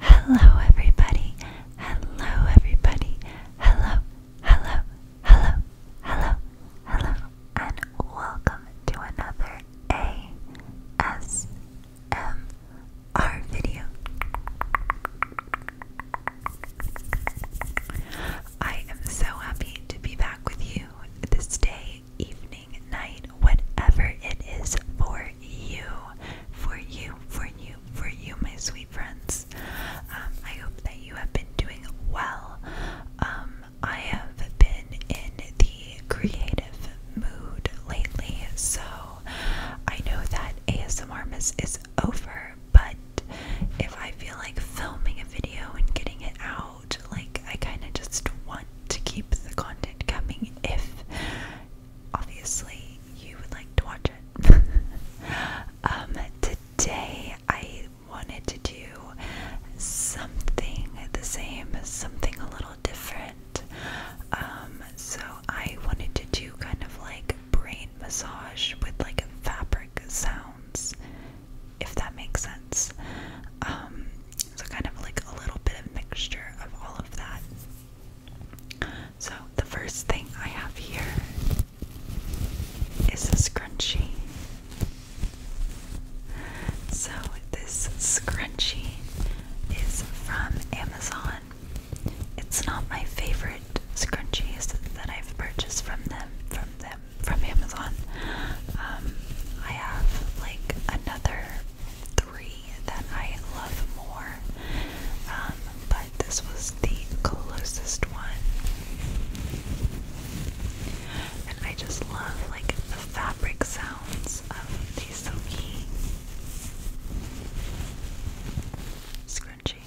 Hello, everybody. Hello, everybody. Hello, hello, hello, hello, hello, and welcome to another ASMR video. I am so happy to be back with you this day, evening, night, whatever it is for you, for you, for you, for you, my sweet friends. Um, I hope that you have been doing well. Um, I have been in the creative mood lately, so I know that ASMR is over, but if I feel like filming a video and getting it out, like I kind of just want to keep the content coming if obviously you would like to watch it. um, today I wanted to do something the same, something a little different. Um, so I wanted to do kind of like brain massage with like fabric sounds, if that makes sense. Um, so kind of like a little bit of mixture of all of that. So, the first thing I have here is a scrunchie. So, this scrunchie is from Amazon. It's not my favorite scrunchies that I've purchased from them, from them, from Amazon. Um, I have like another three that I love more, um, but this was the closest one. And I just love like the fabric sounds of the silky scrunchie.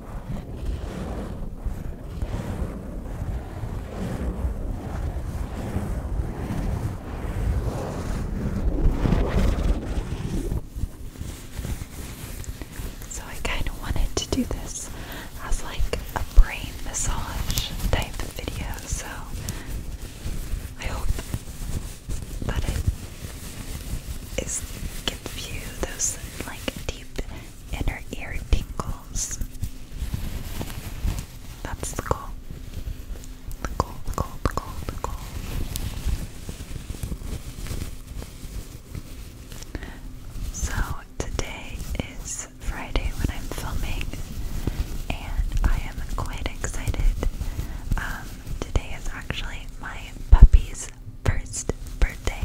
So I kind of wanted to do this as like a brain massage type video, so I hope that it is gives you those like deep and inner ear tingles. That's the goal. The goal, the goal, the So today is Friday when I'm filming, and I am quite excited. Um, today is actually my puppy's first birthday.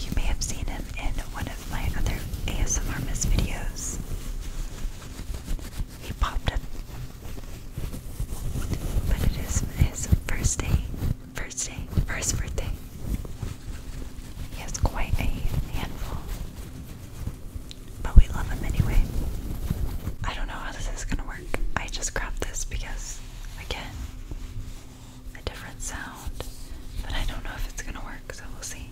You may have seen him in one of my other ASMR Miss videos. He popped up. But it is his first day, first day, first birthday. He has quite a handful. But we love him anyway. I don't know how this is gonna work. I just grabbed this because, again, a different sound, but I don't know if it's gonna work, so we'll see.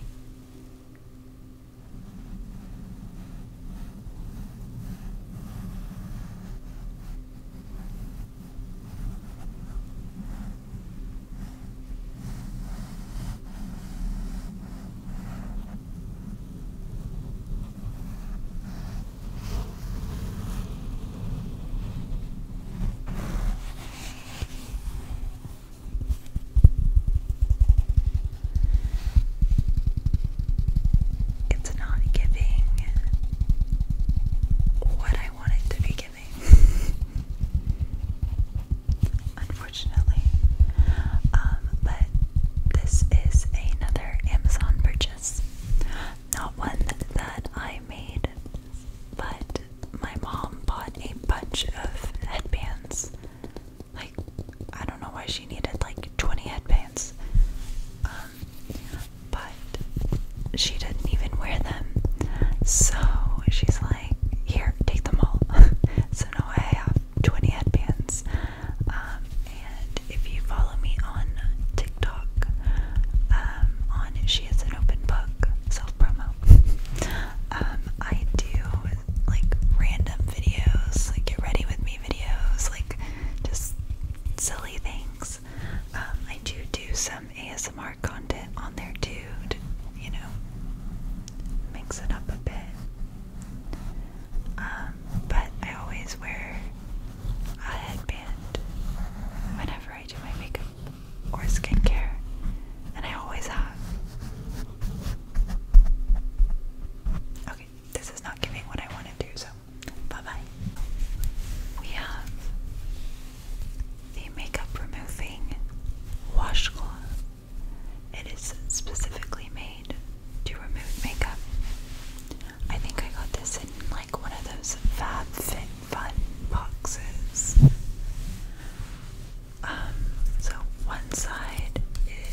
It's not giving what I want to be giving. Unfortunately. Um, but this is another Amazon purchase. Not one that I made, but my mom bought a bunch of headbands. Like, I don't know why she needed like 20 headbands. Um, but she didn't even wear them. So she's like, here, take them all. so now I have 20 headbands. Um, and if you follow me on TikTok, um, on she is an open book. Self promo. Um, I do like random videos, like get ready with me videos, like just silly things. Um, I do do some ASMR content on there too. you know, mix it up a bit. Um, but I always wear a headband whenever I do my makeup or skincare, and I always have. Okay, this is not giving what I want to do, so bye bye. We have the makeup removing washcloth. It is specifically made to remove makeup. I think I got this in like one of those Fab Fit Fun boxes. Um, so one side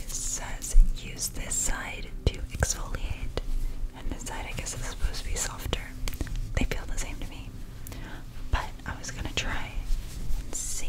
says use this side to exfoliate, and this side I guess is supposed to be softer. They feel the same to me, but I was gonna try and see.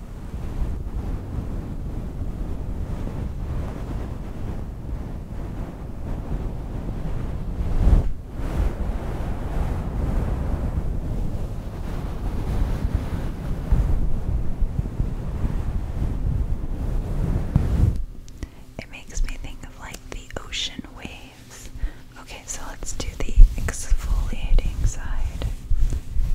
It makes me think of like the ocean waves. Okay, so let's do the exfoliating side.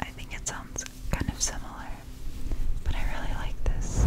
I think it sounds kind of similar, but I really like this.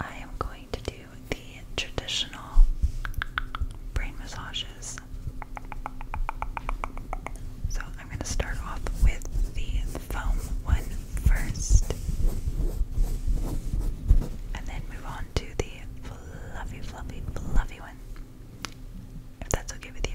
I am going to do the traditional brain massages. So I'm going to start off with the foam one first, and then move on to the fluffy, fluffy, fluffy one if that's okay with you.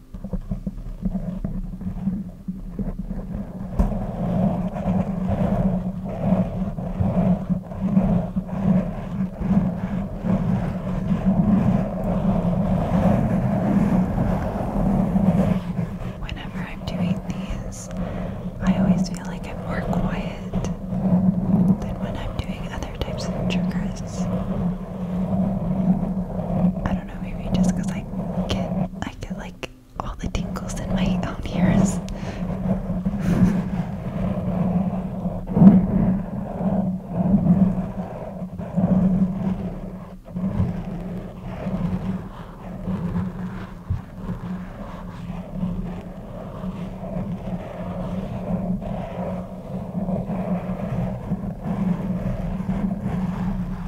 Whenever I'm doing these, I always feel like I'm more quiet than when I'm doing other types of triggers don't know, maybe just because I get I get like all the tingles in my own ears.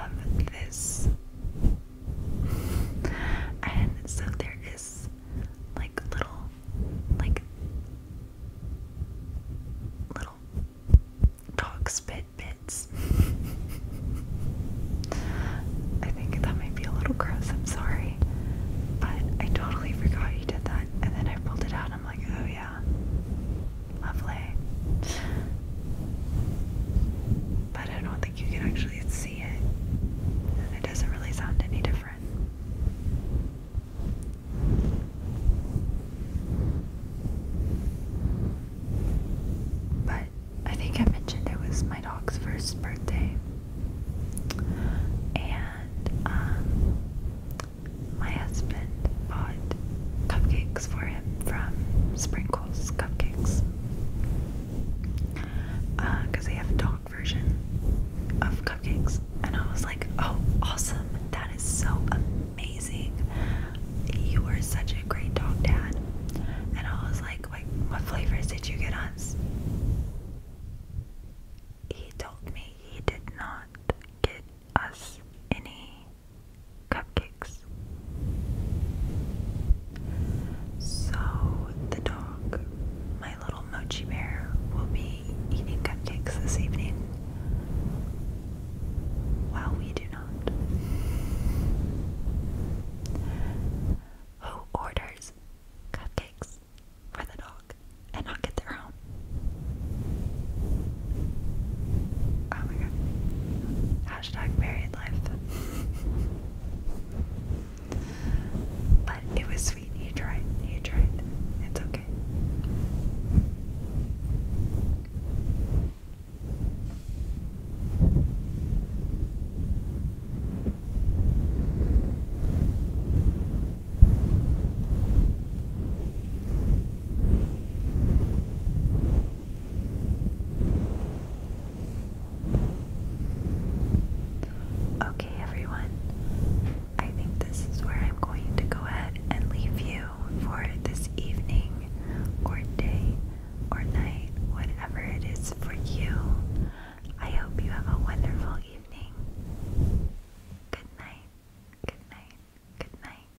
love this. and so there is like little, like little dog spit bits. I think that might be a little gross, I'm sorry. But I totally forgot you did that. And then I pulled it out I'm like, oh yeah. Lovely. But I don't think you can actually see it. And it doesn't really sound any different. But I think I mentioned it was my dog's first birthday. And um, my husband bought cupcakes for from Sprinkles Cupcakes because uh, they have dog version of cupcakes, and I was like, oh, awesome! That is so amazing. You were such a great dog dad. And I was like, like, what flavors did you get us? He told me he did not get us any cupcakes. So the dog, my little mochi bear, will be eating cupcakes this evening while we do not. Who orders cupcakes for the dog and not get their own? Oh my god. Hashtag married life. but it was sweet. He tried. He tried. It's okay. Okay, everyone, I think this is where I'm going to go ahead and leave you for this evening or day or night, whatever it is for you. I hope you have a wonderful evening. Good night, good night, good night.